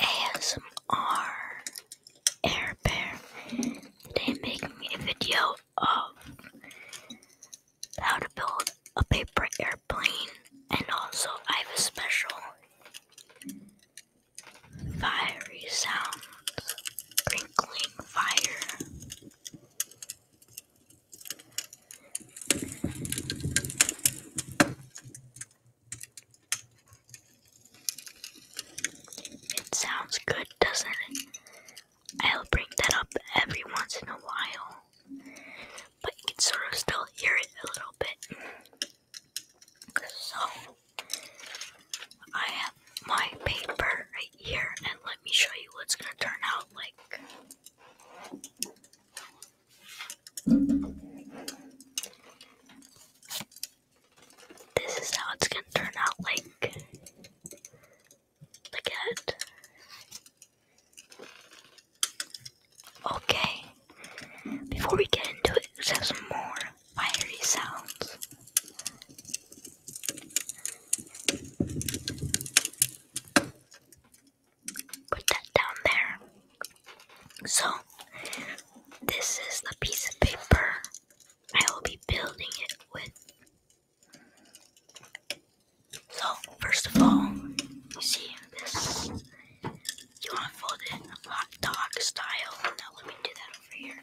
ASMR Air Bear. Today I'm making a video of how to build a paper airplane and also I have a special fiery sound crinkling fire. It sounds good, doesn't it? I'll bring that up every once in a while, but you can sort of still hear it a little bit. So, I have my paper right here, and let me show you what's gonna turn out like. This is how it's gonna turn out like the cat. Okay. Before we get into it, let's have some more fiery sounds. Put that down there. So, this is the piece of paper I will be building it with. So, first of all, you see this? You want to fold it in a hot dog style. Now, let me do that over here.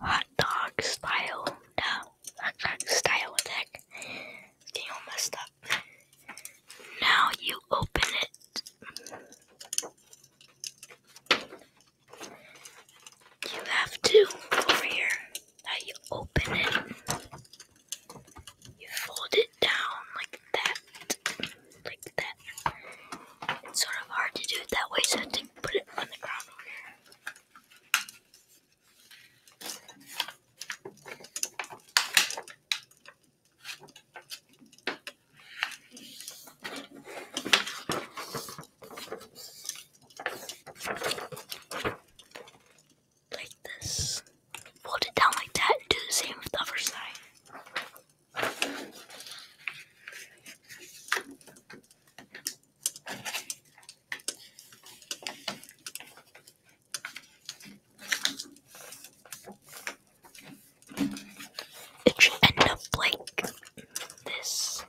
hot dog style. No, hot dog style attack. Getting all messed up. Now you open it. You have to over here. Now you open it. You fold it down like that, like that. It's sort of hard to do it that way, so I have to put it on the ground over here. Like this. Fold it down like that and do the same with the other side. It should end up like this.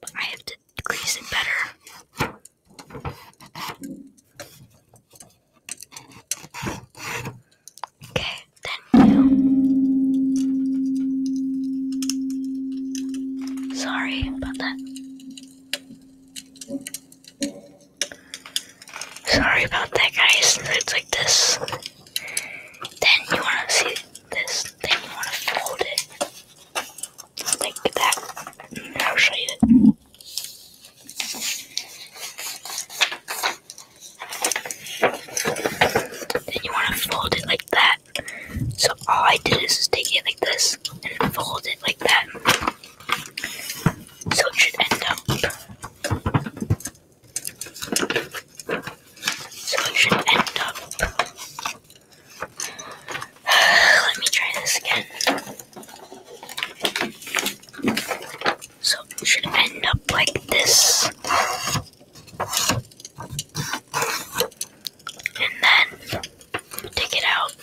But I have to crease it better. Okay, thank Sorry about that. Sorry about that, guys. It's like this. Then you want to see this. Then you want to fold it. Like that. I'll show you Then you want to fold it like that. So all I did is just take it like this and fold it like that. So it should end up. So it should end up. Let me try this again. So it should end up like this and then take it out.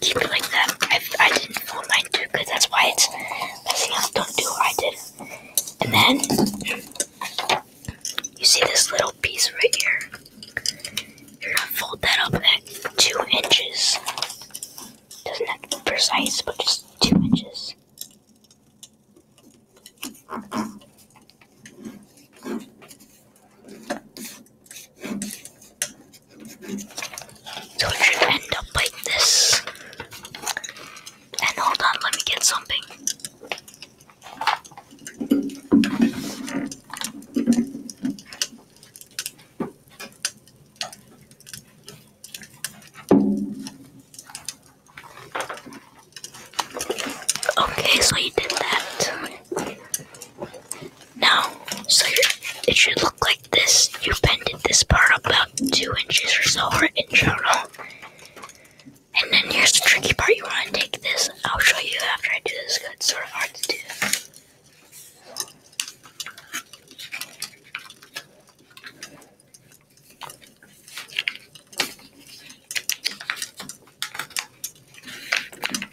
Keep it like that. I, I didn't fold mine too That's why it's Don't do what I did. And then you see this little piece right here. You're gonna fold that up at two inches. Doesn't have to be precise, but just two inches. So it should end up like this. And hold on, let me get something. Okay, so you did that. Now, so it should look like this. You bended this part about two inches or so, or inch, I And then here's the tricky part. You want to take this. I'll show you after I do this. It's sort of hard to do.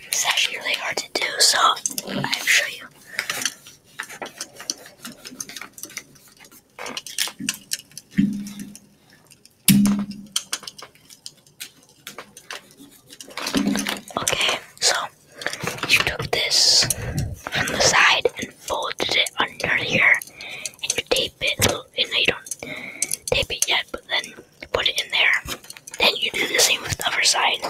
It's actually really hard to do, so I'll show you. Okay, so you took this from the side and folded it under here and you tape it, and you don't tape it yet, but then put it in there. Then you do the same with the other side.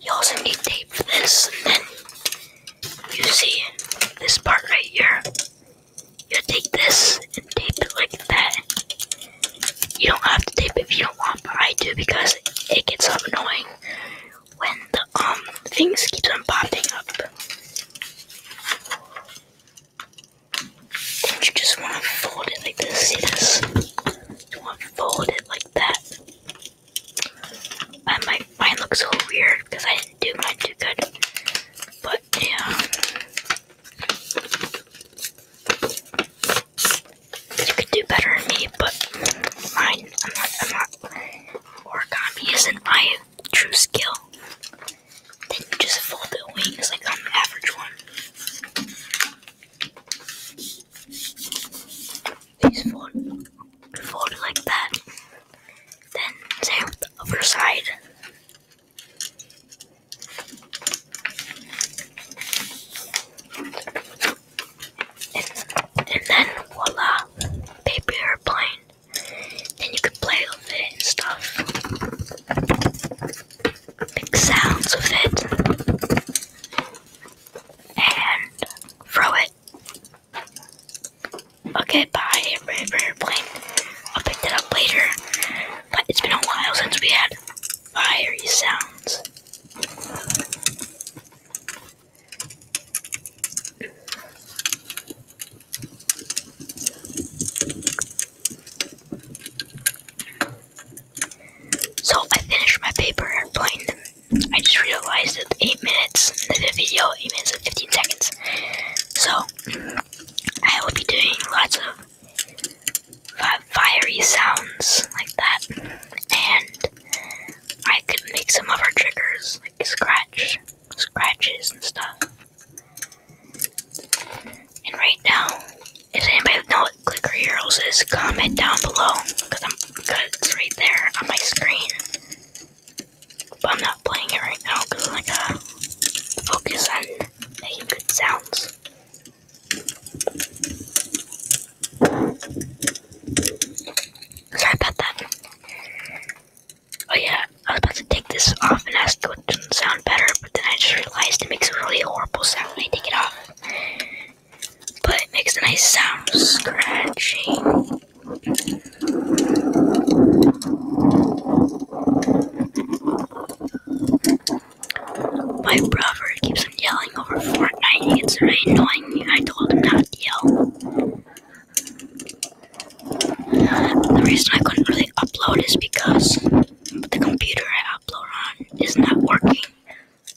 You also need tape for this, and then you see this part right here. You take this and tape it like that. You don't have to tape it if you don't want, but I do because it gets so annoying when the um things keeps on popping up. do you just want to fold it like this? You want to fold it like that. I mine looks so weird because I didn't do mine too good. But yeah. You could do better than me, but mine I'm not origami isn't my true skill. just fold the wings like i average one these fold, fold like that. Then same with the other side. And, then voila, paper plane. Then you can play with it and stuff. Make sounds with it. And throw it. Okay, bye, River Plane. I'll pick that up later. But it's been a while since we had fiery sounds. So I finished my paper airplane I just realized that 8 minutes of the video, 8 minutes and 15 seconds. So, I will be doing lots of fiery sounds like that. And I could make some other triggers, like scratch, scratches and stuff. And right now, if anybody know what Clicker Heroes is, comment down below, because I'm because it's right there on my screen. But I'm not playing it right now because I gotta focus on good sounds. Sorry about that. Oh yeah, I was about to take this off and ask what doesn't better, but then I just realized it makes a really horrible sound when I take it off but it makes a nice sound scratching. My brother keeps on yelling over Fortnite. It's very annoying. I told him not to yell. The reason I couldn't really upload is because the computer I upload on is not working.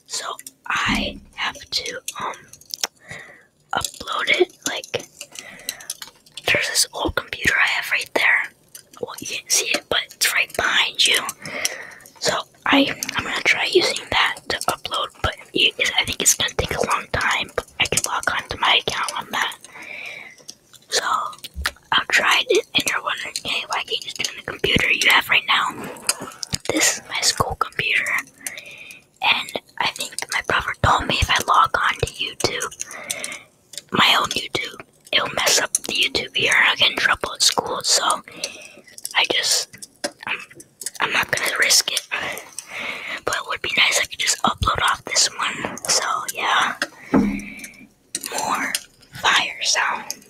So I have to um upload it. Like there's this old computer I have right there. Well, you can't see it, but it's right behind you. So I I'm gonna try using that to upload, but it, I think it's gonna take a long time. But I can log on to my account on that. So I've tried it, and you're wondering, hey, why can't you just do the computer you have right now? This is my school computer. And I think my brother told me if I log on to YouTube, my own YouTube, it'll mess up the YouTube here and I'll get in trouble at school. So I just, I'm not gonna risk it. But it would be nice if I could just upload off this one. So yeah, more fire sounds.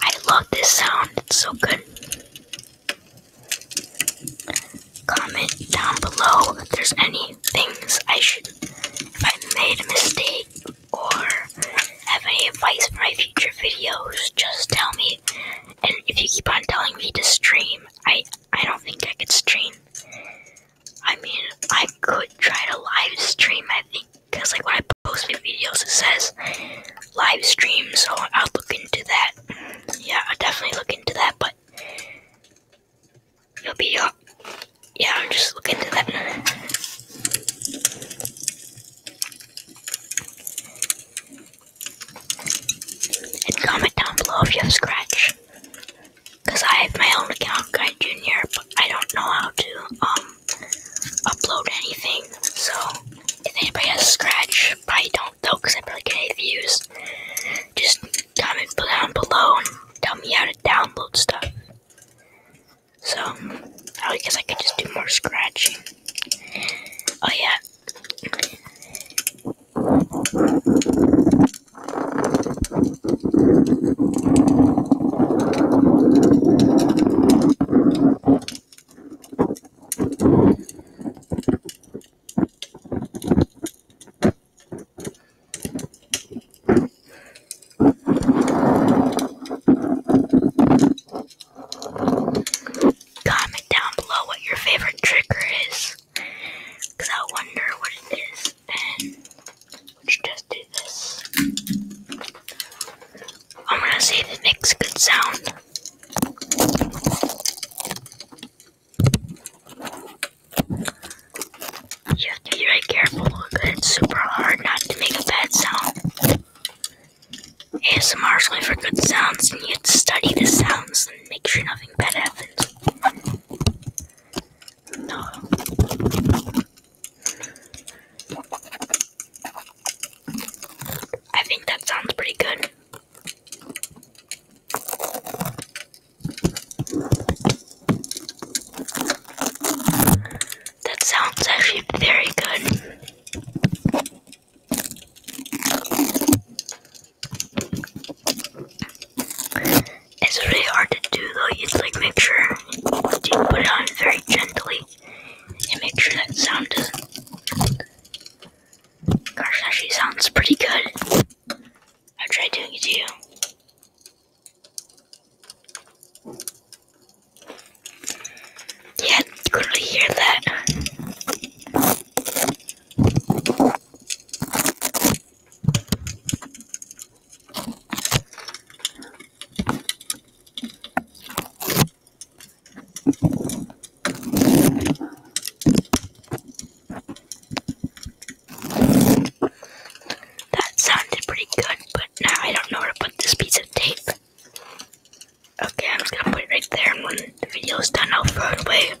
I love this sound, it's so good. Comment down below if there's any things I should, if I made a mistake or have any advice for my future videos, just tell me. And if you keep on telling me to stream, I, I don't think I could stream. I mean, I could try to live stream, I think, because like when I post my videos, it says live stream, so I'll look into that. Yeah, I'll definitely look into that, but you'll be uh, Yeah, I'll just look into that. And comment down below if you Scratch. Because I have my own account, Guy Junior, but I don't know how to, um, upload anything. So if anybody has Scratch, probably don't though, because I probably get any views. Just comment down below and tell me how to download stuff. So I guess I could just do more scratching. Oh yeah. Comment down below what your favorite trigger is. I wonder what it is let's just do this. I'm gonna say the next good sound. You have to be very careful because it's super hard not to make a bad sound. ASMR is only for good sounds, and you have to study the sounds and make sure nothing bad happens. No. I think that sounds pretty good. That sounds actually very good. It's really hard to do though, you would like make sure put it on very gently and make sure that sound doesn't. Gosh, that actually sounds pretty good. I'll try doing it to you. Yeah, you could really hear that. That sounded pretty good, but now I don't know where to put this piece of tape. Okay, I'm just gonna put it right there, and when the video is done, I'll throw it away.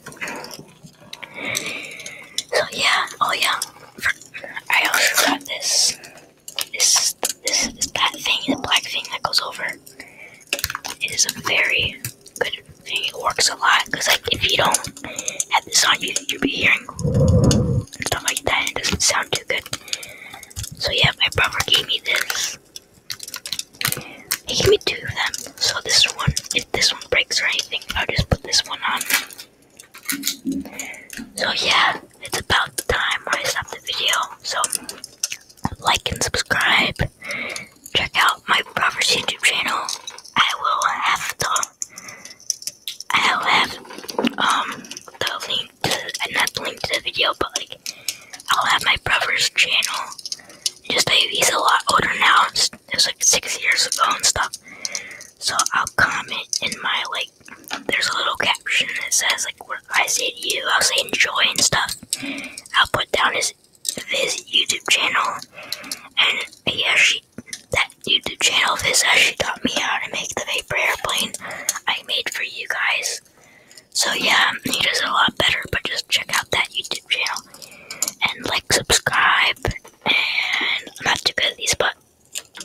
So yeah, oh yeah, I also got this this is this that thing, the black thing that goes over. It is a very good thing. It works a lot because like if you don't have this on, you you'll be hearing and stuff like that. it doesn't sound too good. So yeah, my brother gave me this. He gave me two of them. So this one, if this one breaks or anything, I'll just put this one on. So yeah, it's about the time I stop the video. So like and subscribe. Check out my brother's YouTube channel. I will have the I'll have um the link to not the link to the video, but like I'll have my brother's channel. Just like he's a lot older now. It was like six years ago and stuff. So I'll comment in my like there's a little caption that says like what I see you, I'll say enjoy and stuff. I'll put down his his YouTube channel and he actually that YouTube channel of his actually taught me how to make the vapor airplane I made for you guys. So yeah, he does a lot better, but just check out that YouTube channel and like subscribe and I'm not too good at these but